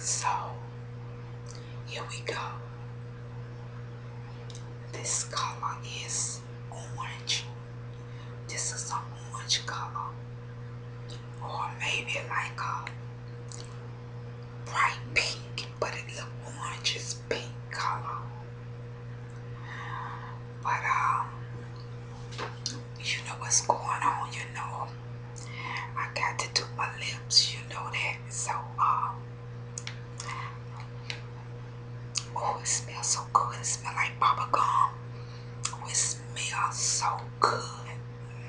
So here we go. This color is orange. This is an orange color. Or maybe like a bright pink but it's a orangish pink color. But um, you know what's going on, you know. I got to do my lips, you know that. So um, oh, it smells so good. It smells like bubble gum. It smells so good.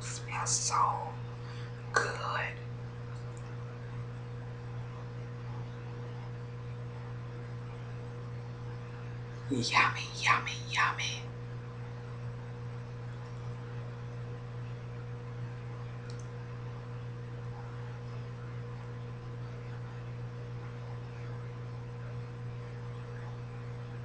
Smells so good. Yummy, yummy, yummy.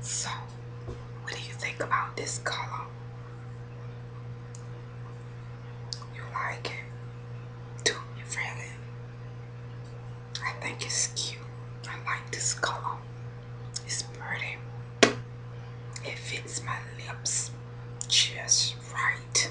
So, what do you think about this color? You like it? Do you feel it? I think it's cute. I like this color. It's pretty. It fits my lips just right.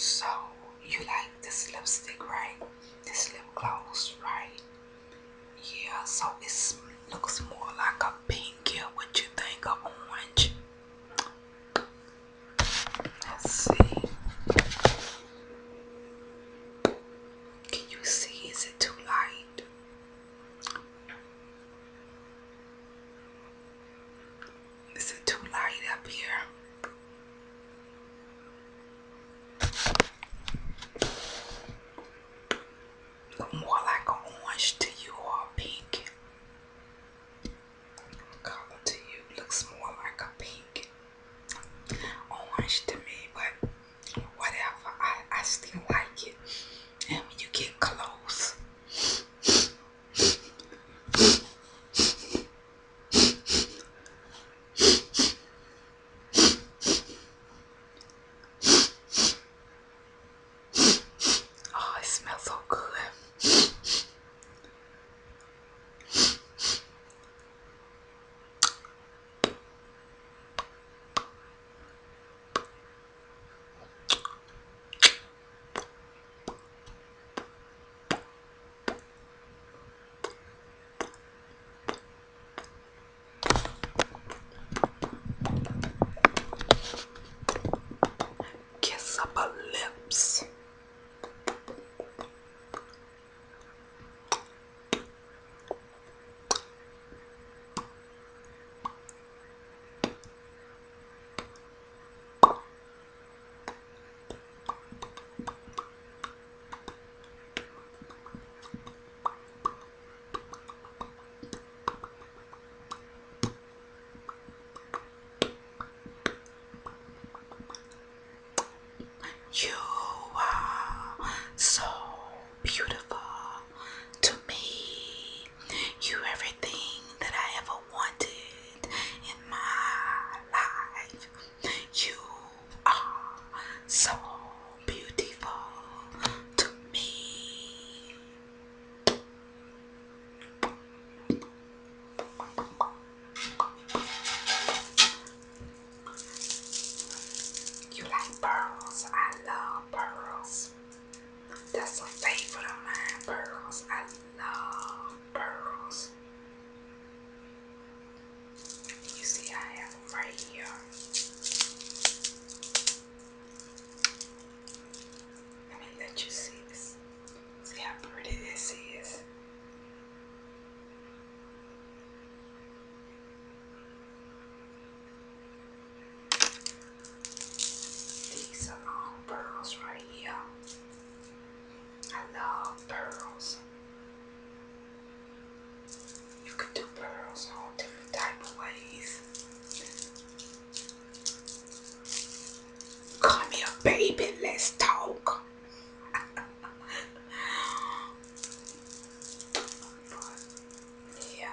So you like this lipstick, right? This lip gloss, right? Yeah, so it looks more like a pink. Yeah, what you think of orange? Let's see. Can you see? Is it too light? Is it too light up here? more like orange to you or pink color to you looks more like a pink orange to me, but whatever, I, I still like it. And when you get close, Oh, it smells so good kiss up her lips. You are so beautiful to me. You everything that I ever wanted in my life. You are so beautiful to me. You like pearls? I love pearls. That's a favorite of mine, pearls. I love pearls. You see, I have right here. Let me let you see this. See how pretty this is. These are all pearls right here. I love pearls. You could do pearls all different types of ways. Come here, baby, let's talk. yeah.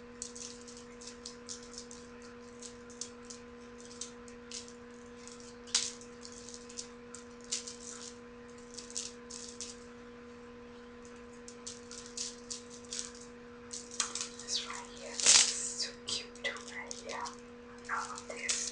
This right here, this is so cute right here. I love this.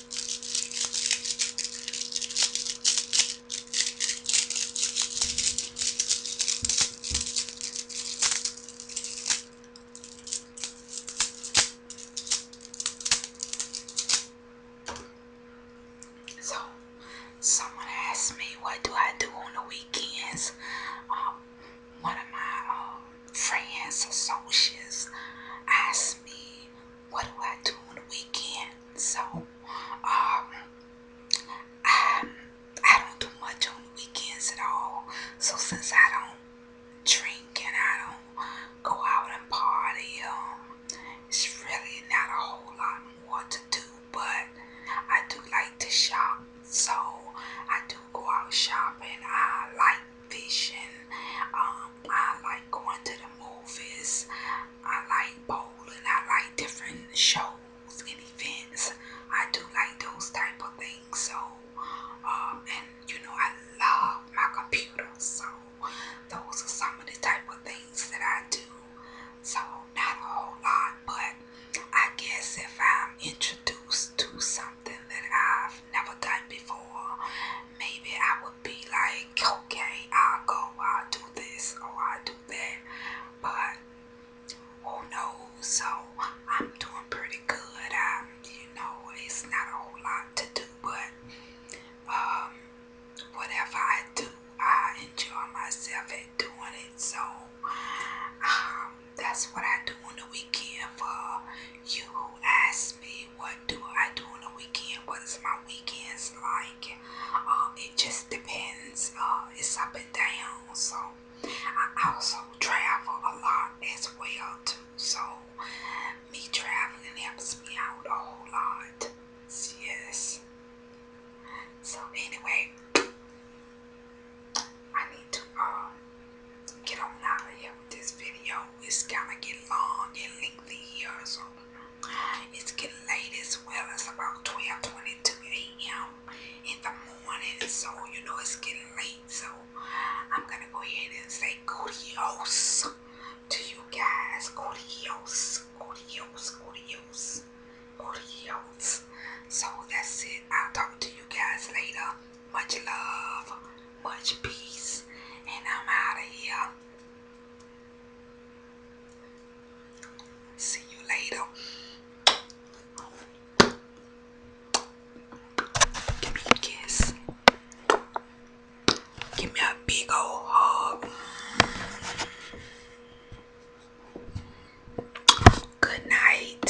So, someone asked me, What do I do on the weekends? Um, one of my uh, friends, associates, asked me what do I do on the weekend? So, um, I, I don't do much on the weekends at all. So since I don't drink and I don't go out and party, um, it's really not a whole lot more to do. But I do like to shop, so I do go out shopping. I like Vision. Um, I like going to the movies. I like bowling. I like different shows and events. I do like those type of things. So, um, and you know, I love my computer. So, those are some of the type of things that I do. So, not a whole lot, but I guess if I'm introduced to something that I've never done before, maybe I will be like, okay, I'll go, i do this, or I'll do that. But who knows? So I'm doing pretty good. I'm, you know, it's not a whole lot to do, but um, whatever I do, I enjoy myself at doing it. So um, that's what I do on the weekend for you who asked me what do I do on the weekend, what is my weekends like. Um, it just depends. Uh, it's up and down. So I also travel a lot as well too. So me traveling helps me out a whole lot. Yes. So anyway, I need to uh, get on out here this video is gonna get long and lengthy here, so it's getting late as well. It's about 12:22 a.m. in the morning, so you know it's getting late. So I'm gonna go ahead and say kudos to you guys. Kudos, kudos, kudos, kudos. So that's it. I'll talk to you guys later. Much love, much peace, and I'm out of here. See you later. Give me a kiss. Give me a big old hug. Good night.